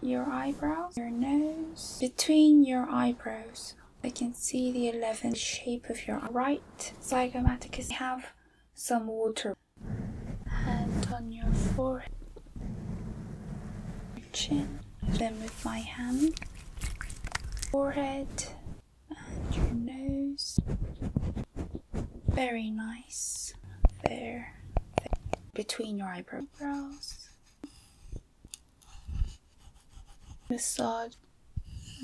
your eyebrows, your nose, between your eyebrows. I can see the 11 shape of your right zygomaticus. Have some water. Hand on your forehead, chin. Then with my hand, forehead and your nose. Very nice. there. between your eyebrows. Massage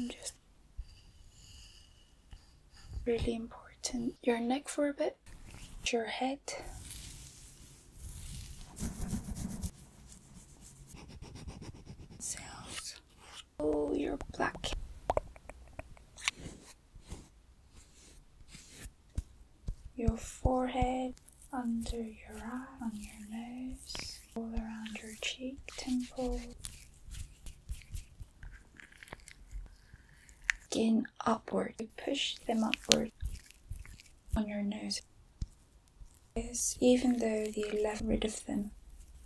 just really important. Your neck for a bit, your head. Sounds. Oh, you're black your forehead, under your eye, on your nose, all around your cheek, temple, skin upward. You push them upward on your nose. Yes, even though the left rid of them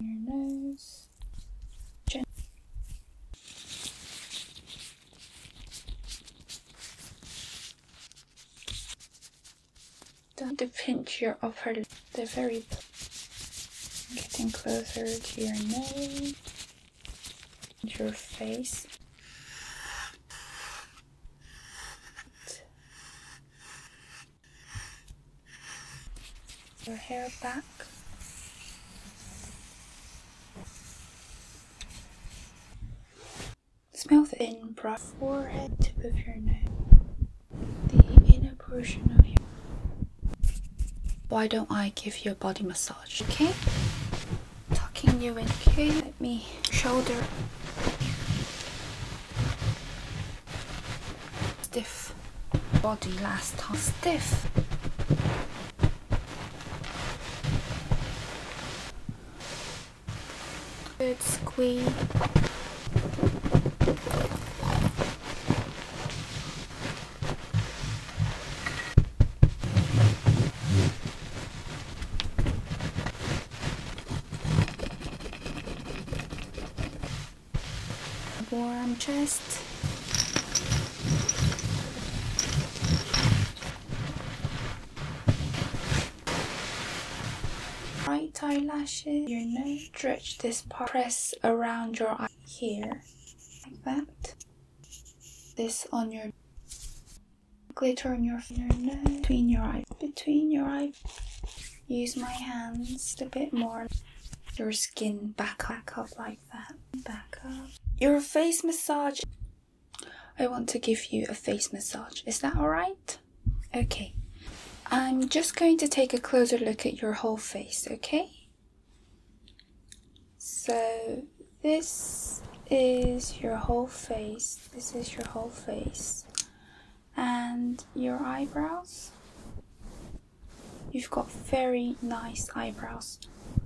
on your nose. Don't pinch your upper lip, are very getting closer to your nose, your face. Your hair back. Smell the in broad forehead tip of your nose. the inner portion of your. Why don't I give you a body massage? Okay, tucking you in. Okay, let me shoulder. Stiff body last time. Stiff. Good squeeze. Warm chest. Right eyelashes, your nose, stretch this part, press around your eye here, like that. This on your glitter on your, your between your eyes, between your eyes. Use my hands a bit more. Your skin back up like that, back up. Your face massage I want to give you a face massage. Is that alright? Okay. I'm just going to take a closer look at your whole face, okay? So, this is your whole face. This is your whole face. And your eyebrows. You've got very nice eyebrows.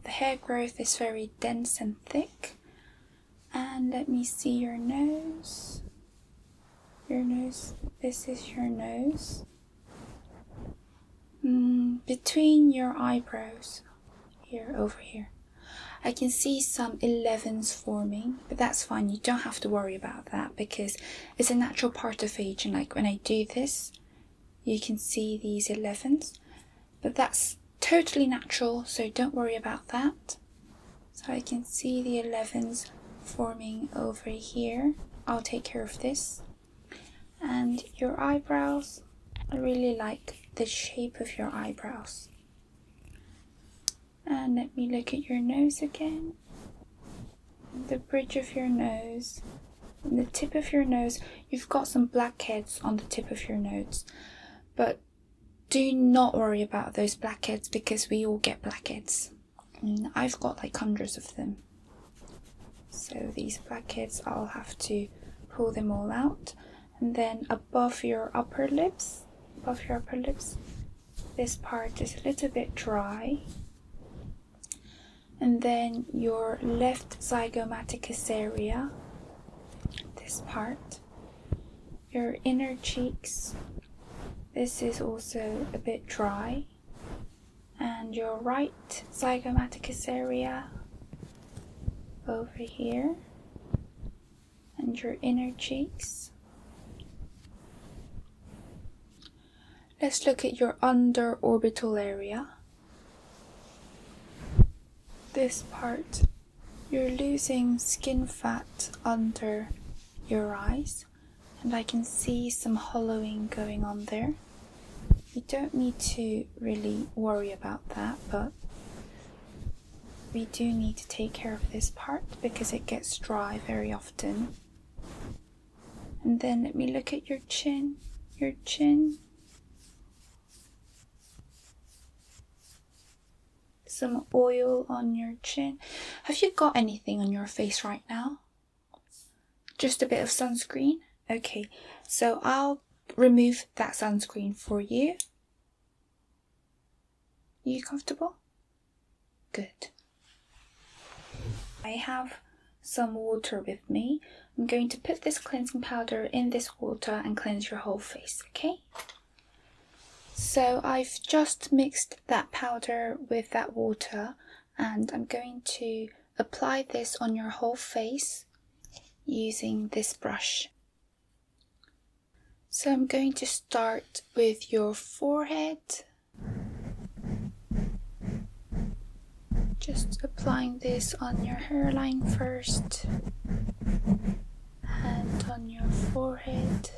The hair growth is very dense and thick, and let me see your nose. Your nose, this is your nose. Mm, between your eyebrows, here, over here. I can see some 11s forming, but that's fine. You don't have to worry about that because it's a natural part of aging. like when I do this, you can see these 11s but that's totally natural, so don't worry about that. So I can see the 11s forming over here. I'll take care of this. And your eyebrows, I really like the shape of your eyebrows. And let me look at your nose again. The bridge of your nose, and the tip of your nose. You've got some blackheads on the tip of your nose, but do not worry about those blackheads because we all get blackheads. I've got like hundreds of them. So these blackheads, I'll have to pull them all out. And then above your upper lips, above your upper lips, this part is a little bit dry. And then your left zygomaticus area, this part, your inner cheeks. This is also a bit dry. And your right zygomaticus area over here, and your inner cheeks. Let's look at your under orbital area. This part you're losing skin fat under your eyes, and I can see some hollowing going on there. You don't need to really worry about that, but we do need to take care of this part because it gets dry very often. And then let me look at your chin. Your chin some oil on your chin. Have you got anything on your face right now? Just a bit of sunscreen? Okay, so I'll remove that sunscreen for you. You comfortable? Good. I have some water with me. I'm going to put this cleansing powder in this water and cleanse your whole face, okay? So I've just mixed that powder with that water and I'm going to apply this on your whole face using this brush. So I'm going to start with your forehead. Just applying this on your hairline first. Hand on your forehead.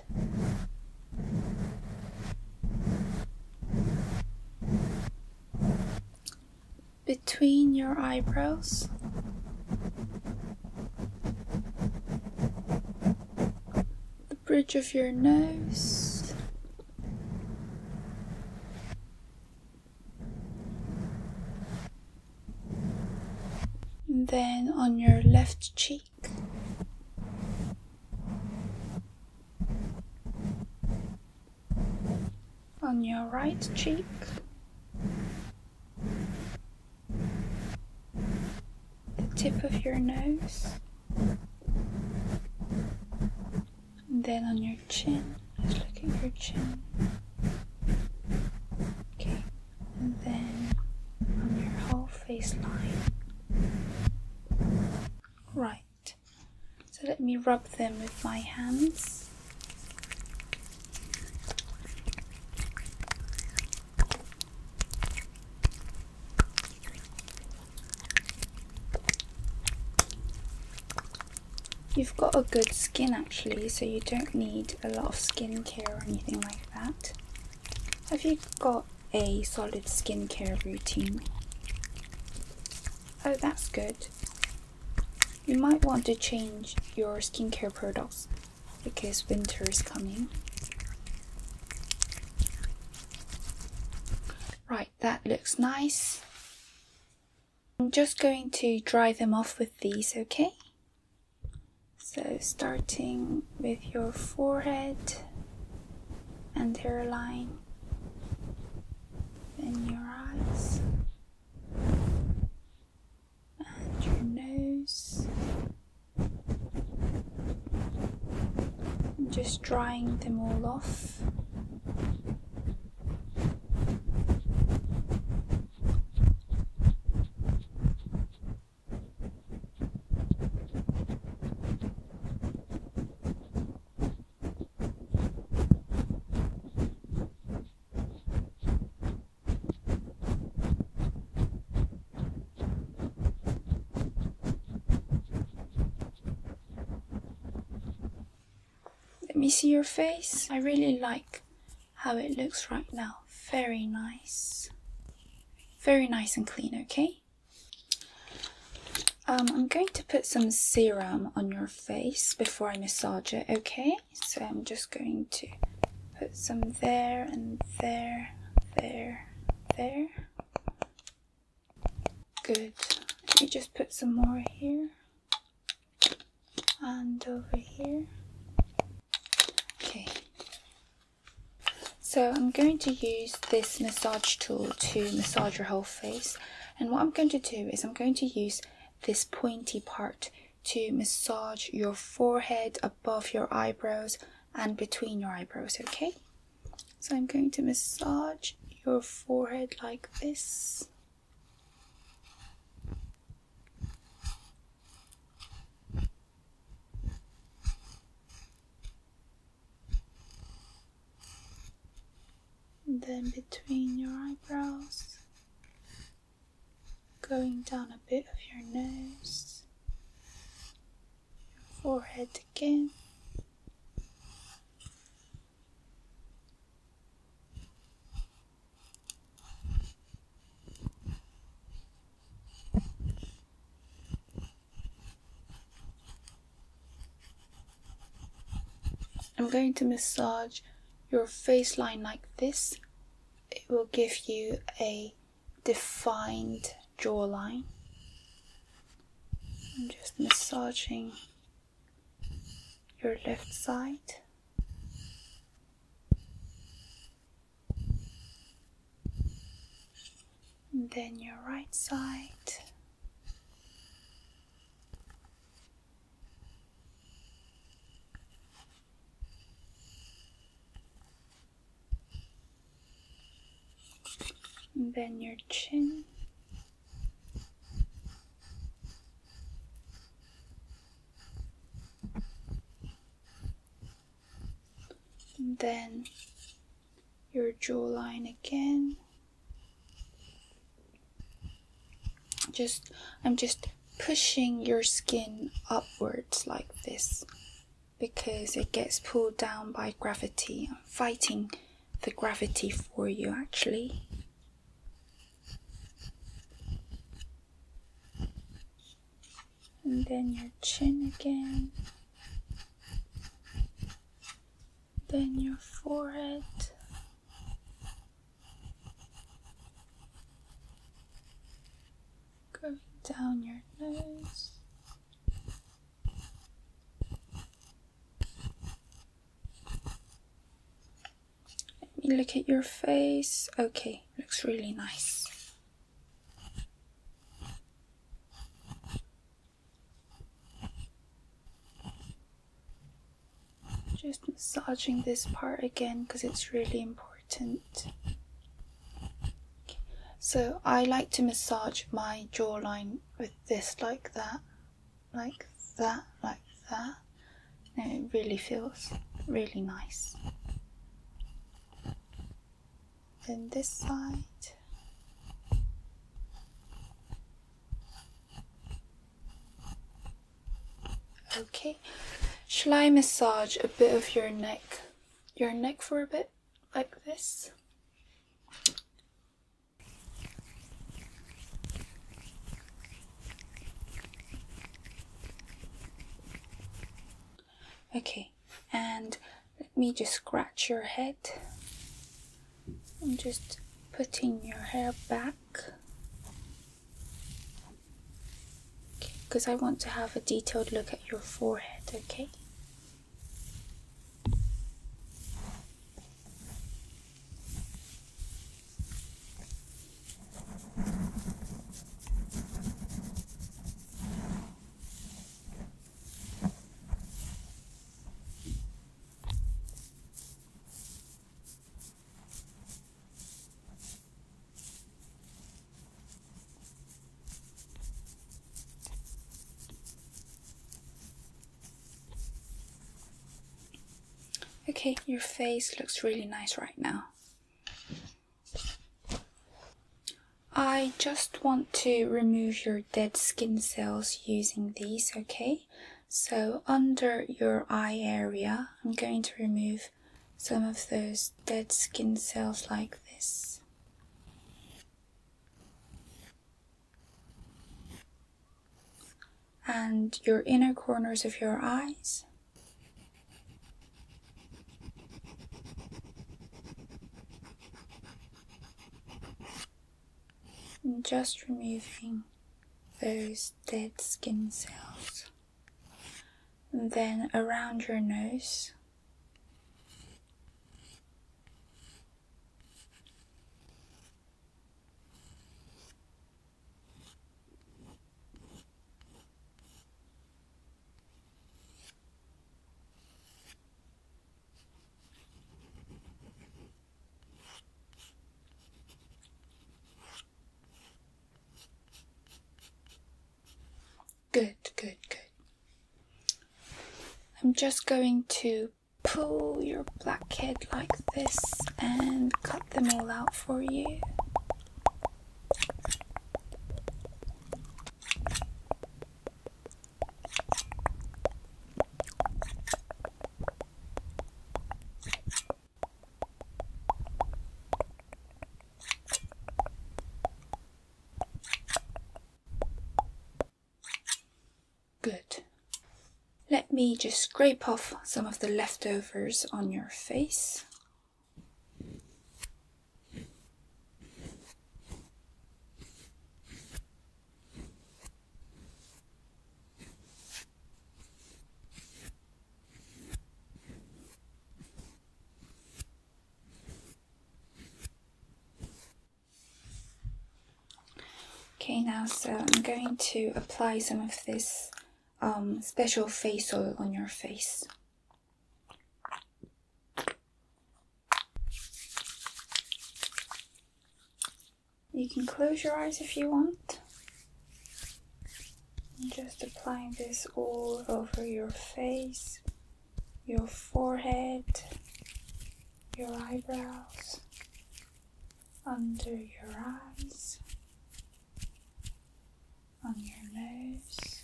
Between your eyebrows, the bridge of your nose, then on your left cheek. On your right cheek. The tip of your nose. then on your chin. Just us look at your chin. Okay and then on your whole face line. Right, so let me rub them with my hands. You've got a good skin actually, so you don't need a lot of skincare or anything like that. Have you got a solid skincare routine? Oh, that's good. You might want to change your skincare products because winter is coming. Right, that looks nice. I'm just going to dry them off with these, okay? So, starting with your forehead and hairline, then your eyes and your nose, and just drying them all off. Let me see your face. I really like how it looks right now. Very nice. Very nice and clean, okay? Um, I'm going to put some serum on your face before I massage it, okay? So I'm just going to put some there and there, there, there. Good. Let me just put some more here and over here. Okay. So I'm going to use this massage tool to massage your whole face. And what I'm going to do is I'm going to use this pointy part to massage your forehead above your eyebrows and between your eyebrows, okay? So I'm going to massage your forehead like this. Then between your eyebrows, going down a bit of your nose, forehead again. I'm going to massage your face line like this. It will give you a defined jawline. I'm just massaging your left side then your right side then your chin then your jawline again. Just, I'm just pushing your skin upwards like this because it gets pulled down by gravity. I'm fighting the gravity for you actually and then your chin again, then your forehead. Going down your nose, let me look at your face. Okay, looks really nice. Just massaging this part again because it's really important. So, I like to massage my jawline with this, like that, like that, like that it really feels really nice. Then this side. Okay, shall I massage a bit of your neck, your neck for a bit, like this? Okay, and let me just scratch your head. I'm just putting your hair back because I want to have a detailed look at your forehead, okay? Okay, your face looks really nice right now. I just want to remove your dead skin cells using these, okay? So under your eye area, I'm going to remove some of those dead skin cells like this. And your inner corners of your eyes. Just removing those dead skin cells. then around your nose, Good, good, good. I'm just going to pull your blackhead like this and cut them all out for you. Good. Let me just scrape off some of the leftovers on your face. Okay, now so I'm going to apply some of this um, special face oil on your face. You can close your eyes if you want. just applying this all over your face, your forehead, your eyebrows, under your eyes, on your nose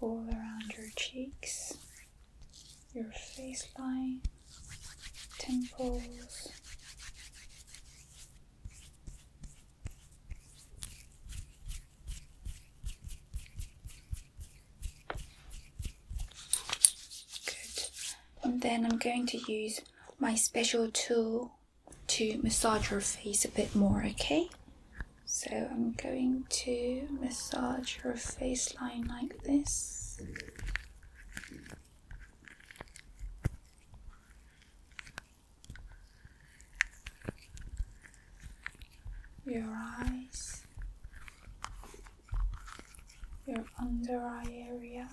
all around your cheeks your face line temples Good. And then I'm going to use my special tool to massage your face a bit more, okay? So I'm going to massage your face line like this. Your eyes, your under eye area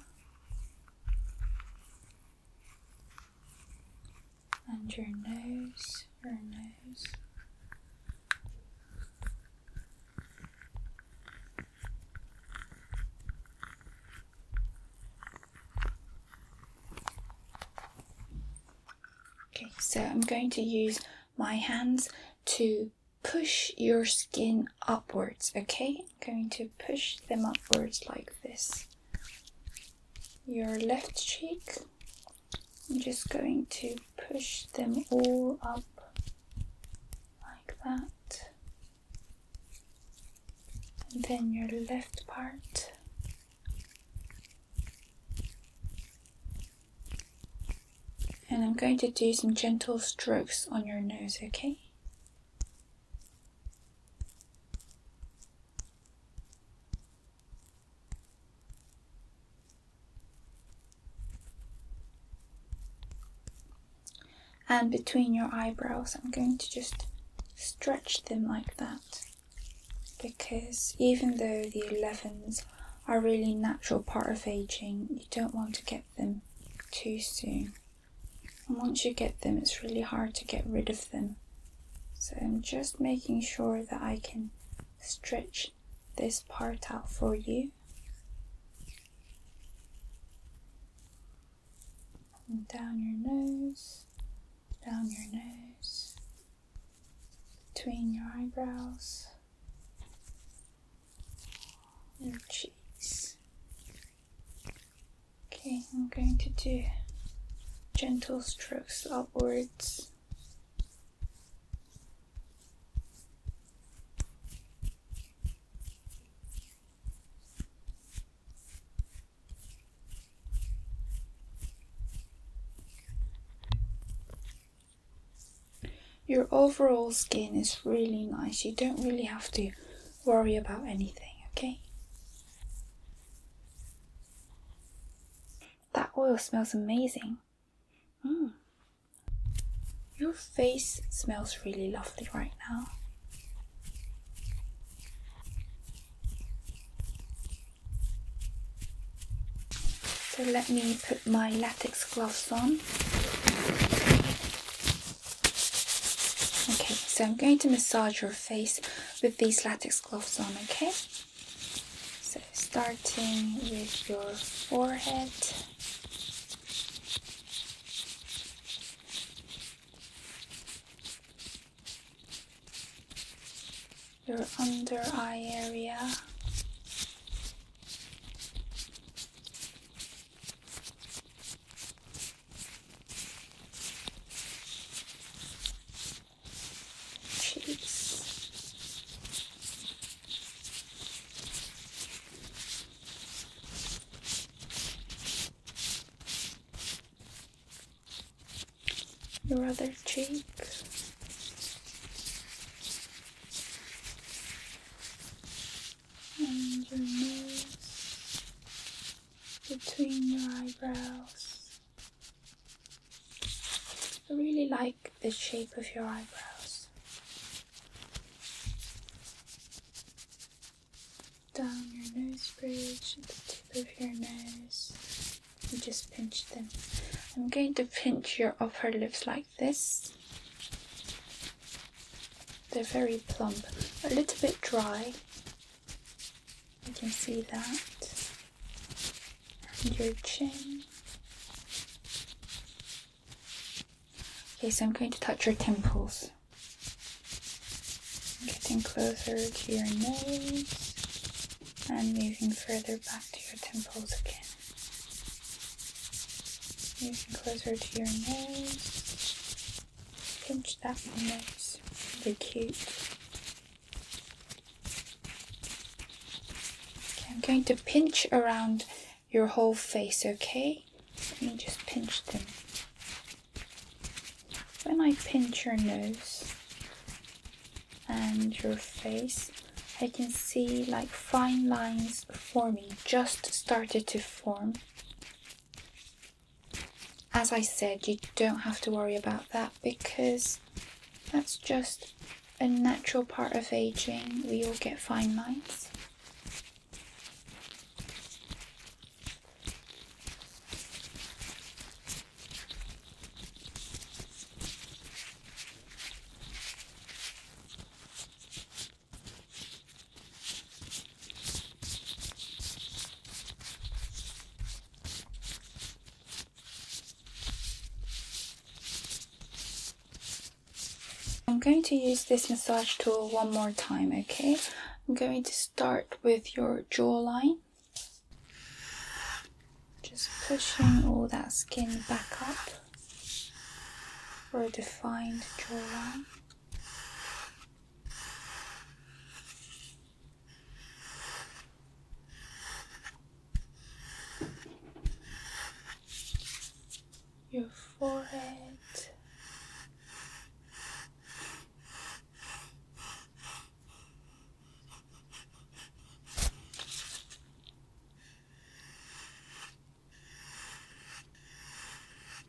and your nose, your nose. Okay, so I'm going to use my hands to push your skin upwards, okay? going to push them upwards like this. Your left cheek, I'm just going to push them all up like that. And then your left part. And I'm going to do some gentle strokes on your nose, okay? And between your eyebrows, I'm going to just stretch them like that because even though the 11s are a really natural part of aging, you don't want to get them too soon. And once you get them, it's really hard to get rid of them. So I'm just making sure that I can stretch this part out for you. down your nose, down your nose, between your eyebrows, and cheeks, Okay, I'm going to do gentle strokes upwards. Your overall skin is really nice. You don't really have to worry about anything, okay? That oil smells amazing. Mm. Your face smells really lovely right now. So let me put my latex gloves on. Okay, so I'm going to massage your face with these latex gloves on, okay? So starting with your forehead. Your under eye area cheeks. Your other cheek and your nose, between your eyebrows. I really like the shape of your eyebrows. Down your nose bridge, the tip of your nose. You just pinch them. I'm going to pinch your upper lips like this. They're very plump, a little bit dry. You can see that. And your chin. Okay, so I'm going to touch your temples. Getting closer to your nose and moving further back to your temples again. Moving closer to your nose Pinch that one, that's really cute. Okay, I'm going to pinch around your whole face, okay? Let me just pinch them. When I pinch your nose and your face, I can see like fine lines forming, just started to form as I said, you don't have to worry about that because that's just a natural part of aging. We all get fine lines. I'm going to use this massage tool one more time, okay? I'm going to start with your jawline. Just pushing all that skin back up for a defined jawline your forehead.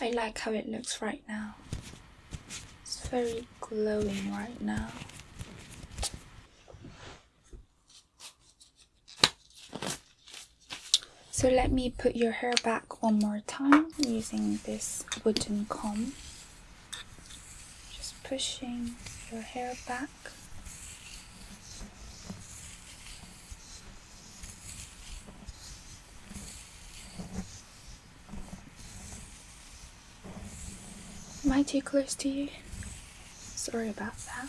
I like how it looks right now. It's very glowing right now. So let me put your hair back one more time using this wooden comb. Just pushing your hair back. Am I too close to you? Sorry about that.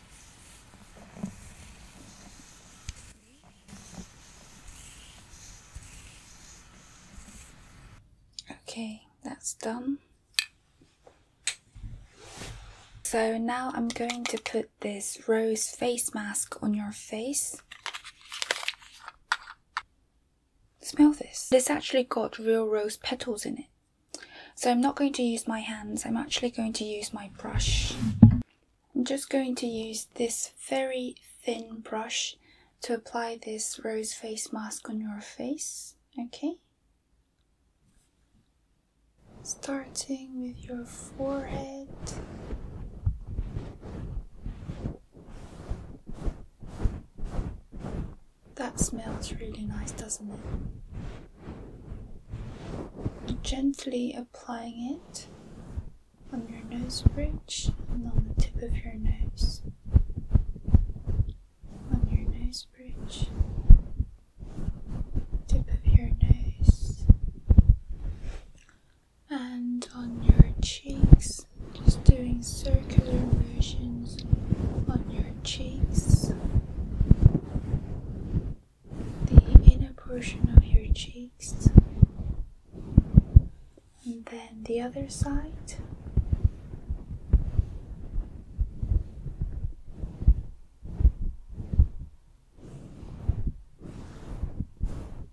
Okay, that's done. So now I'm going to put this rose face mask on your face. Smell this. This actually got real rose petals in it. So I'm not going to use my hands, I'm actually going to use my brush. I'm just going to use this very thin brush to apply this rose face mask on your face, okay? Starting with your forehead. That smells really nice, doesn't it? gently applying it on your nose bridge and on the tip of your nose. On your nose bridge, tip of your nose, and on your cheeks, just doing circular motions on your cheeks the inner portion of your cheeks, and then the other side.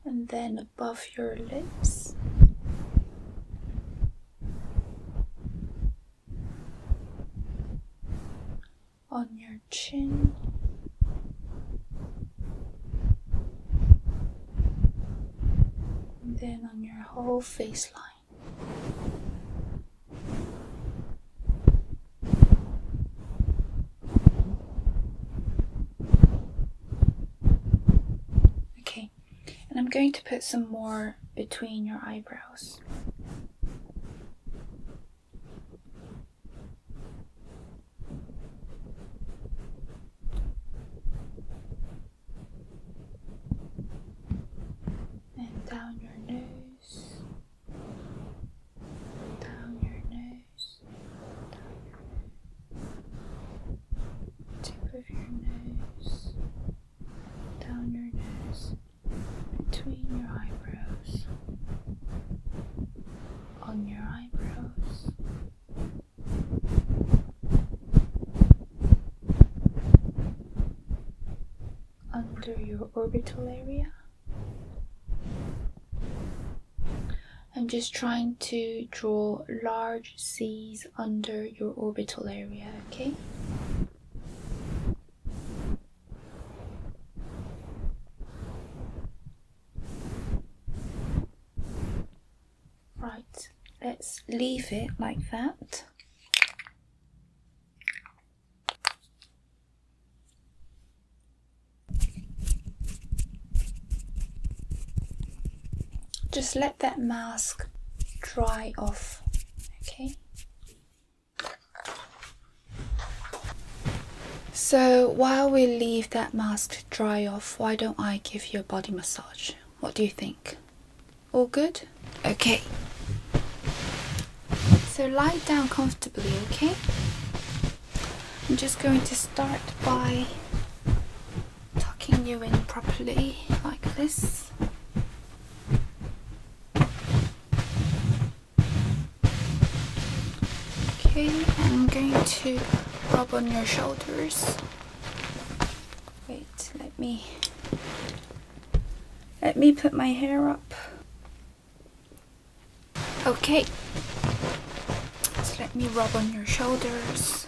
And then above your lips on your chin. And then on your whole face line. Okay, and I'm going to put some more between your eyebrows and down your nose, down your nose, tip of your nose down your nose, between your eyebrows, on your eyebrows. Under your orbital area. I'm just trying to draw large C's under your orbital area, okay? Right, let's leave it like that. Just let that mask dry off, okay? So while we leave that mask to dry off, why don't I give you a body massage? What do you think? All good? Okay. So lie down comfortably, okay? I'm just going to start by tucking you in properly like this. Okay, I'm going to rub on your shoulders. Wait, let me let me put my hair up. Okay. let me rub on your shoulders.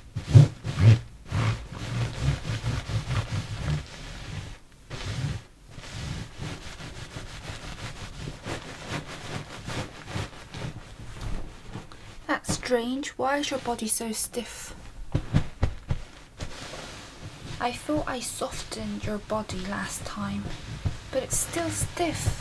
That's strange. Why is your body so stiff? I thought I softened your body last time, but it's still stiff.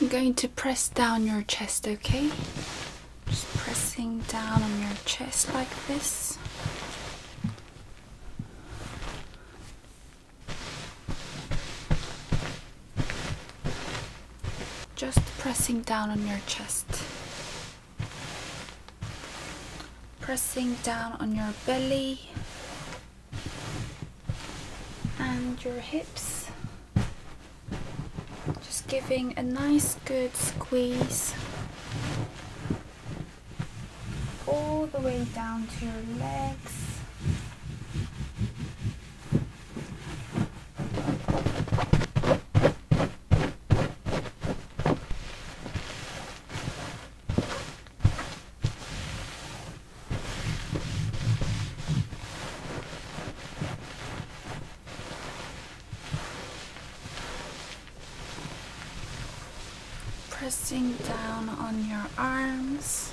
I'm going to press down your chest, okay? Just pressing down on your chest like this. Just pressing down on your chest. Pressing down on your belly and your hips. Just giving a nice good squeeze all the way down to your legs Pressing down on your arms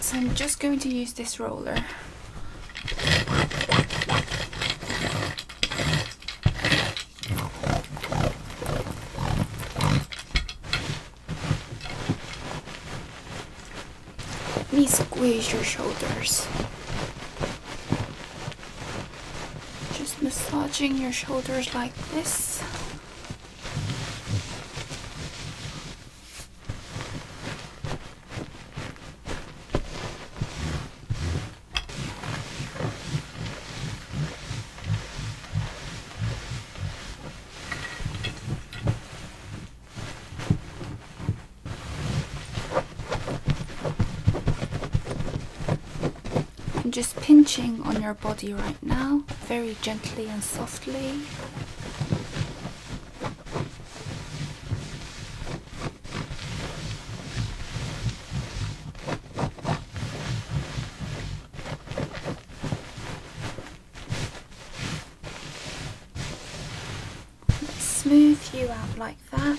So I'm just going to use this roller. Let me squeeze your shoulders. Just massaging your shoulders like this. I'm just pinching on your body right now, very gently and softly smooth you out like that.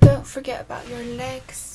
Don't forget about your legs.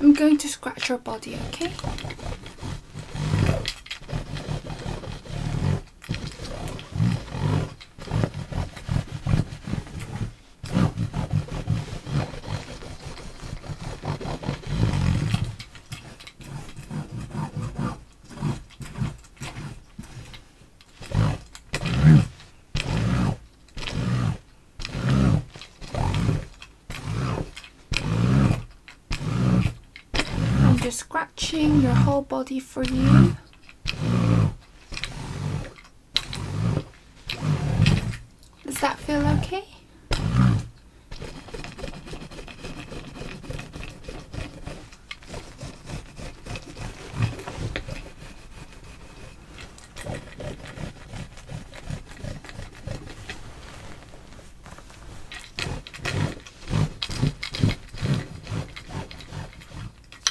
I'm going to scratch your body, okay? I'm just scratching your whole body for you. Does that feel okay?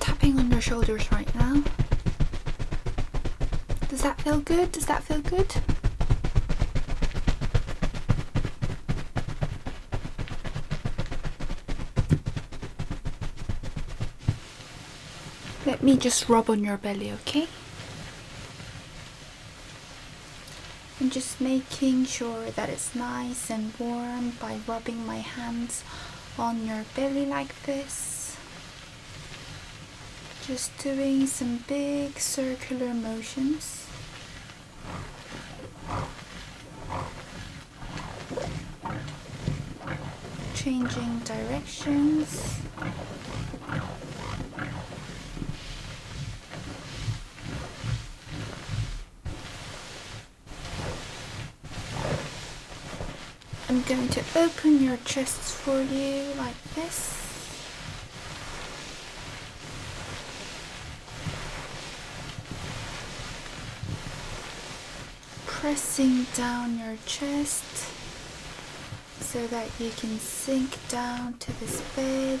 Tapping on your shoulders right now. Does that feel good? Does that feel good? Let me just rub on your belly, okay? I'm just making sure that it's nice and warm by rubbing my hands on your belly like this. Just doing some big circular motions. Changing directions. I'm going to open your chests for you like this. Pressing down your chest so that you can sink down to this bed.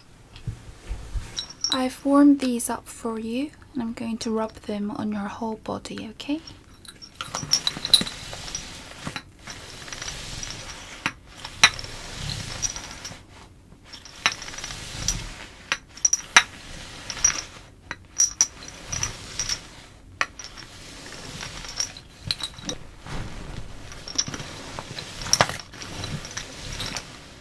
I've warmed these up for you and I'm going to rub them on your whole body, okay?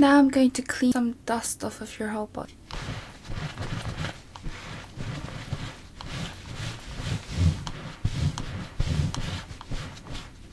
Now I'm going to clean some dust off of your whole body.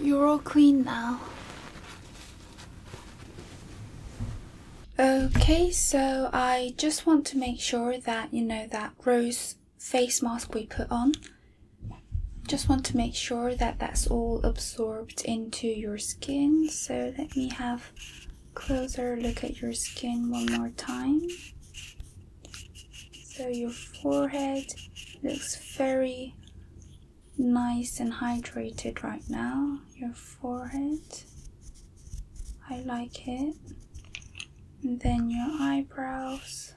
You're all clean now. Okay, so I just want to make sure that you know that rose face mask we put on. Just want to make sure that that's all absorbed into your skin. So let me have closer look at your skin one more time. So your forehead looks very nice and hydrated right now. Your forehead, I like it. then your eyebrows.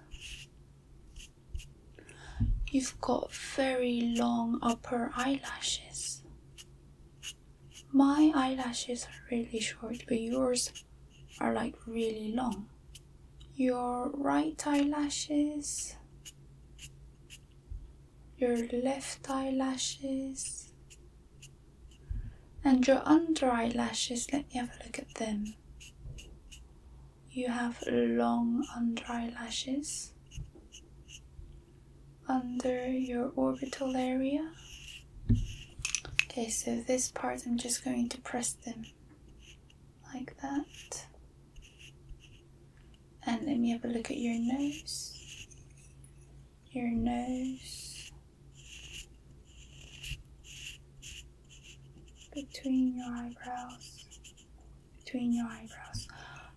You've got very long upper eyelashes. My eyelashes are really short, but yours are like really long. Your right eyelashes, your left eyelashes, and your under eyelashes. Let me have a look at them. You have long under eyelashes under your orbital area. Okay, so this part I'm just going to press them like that. And let me have a look at your nose, your nose, between your eyebrows, between your eyebrows.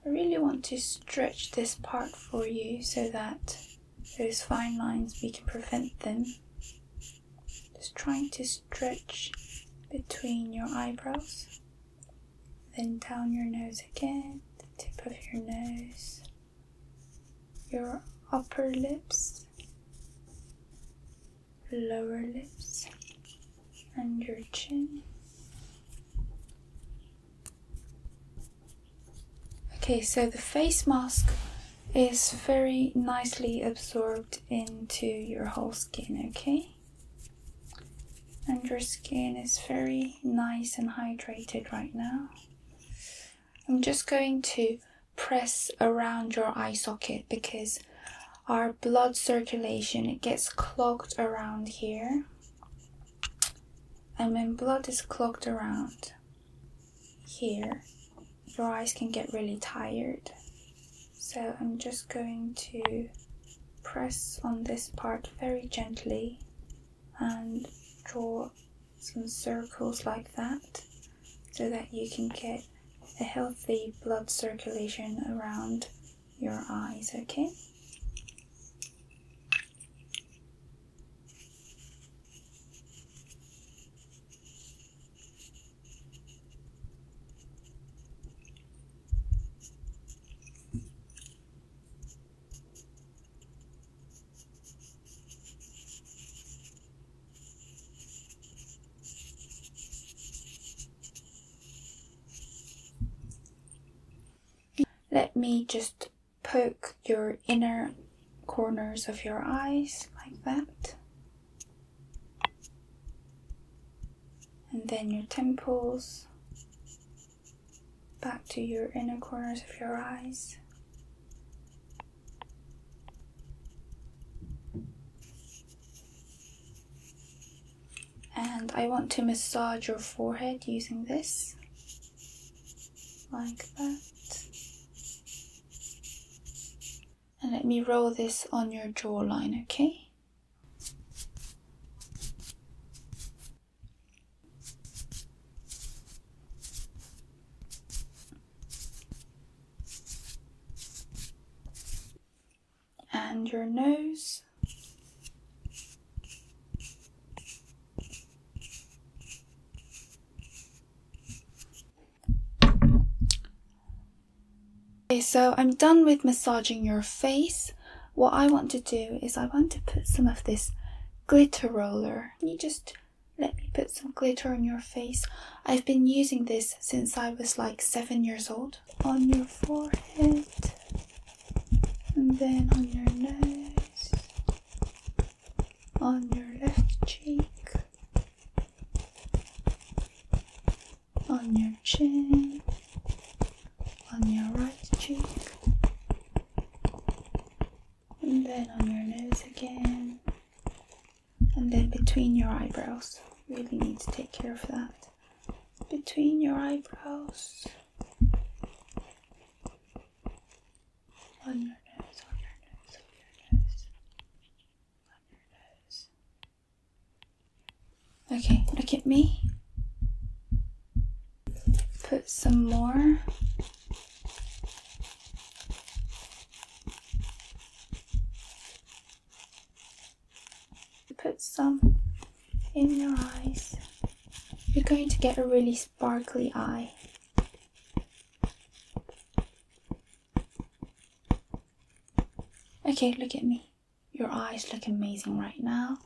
I really want to stretch this part for you so that those fine lines we can prevent them just trying to stretch between your eyebrows, then down your nose again, the tip of your nose, your upper lips, lower lips, and your chin. Okay, so the face mask is very nicely absorbed into your whole skin, okay? And your skin is very nice and hydrated right now. I'm just going to press around your eye socket because our blood circulation gets clogged around here and when blood is clogged around here, your eyes can get really tired. So I'm just going to press on this part very gently and draw some circles like that so that you can get a healthy blood circulation around your eyes, okay? Let me just poke your inner corners of your eyes like that. And then your temples, back to your inner corners of your eyes. And I want to massage your forehead using this, like that. And let me roll this on your jawline, okay? And your nose. Okay, so I'm done with massaging your face. What I want to do is I want to put some of this glitter roller. you just let me put some glitter on your face? I've been using this since I was like seven years old. On your forehead and then on your nose, on your left cheek, on your chin, on your right cheek, and then on your nose again, and then between your eyebrows. Really need to take care of that. Between your eyebrows, on your nose, on your nose, on your nose. Okay, look at me. Put some more. Put some in your eyes. You're going to get a really sparkly eye. Okay, look at me. Your eyes look amazing right now.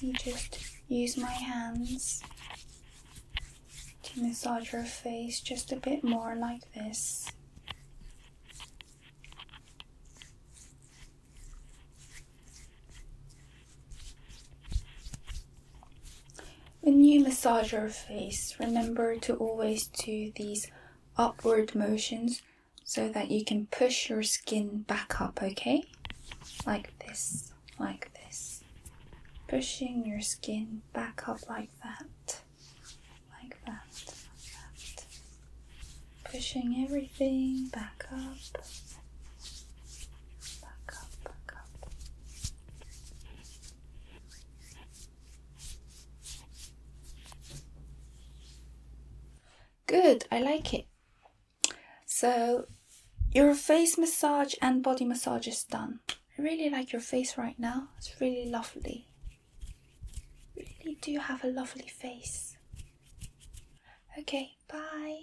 You just use my hands to massage your face just a bit more like this. When you massage your face, remember to always do these upward motions so that you can push your skin back up, okay? Like this, like this. Pushing your skin back up like that, like that, Pushing everything back up, back up, back up. Good, I like it. So, your face massage and body massage is done. I really like your face right now, it's really lovely. really do have a lovely face. Okay, bye.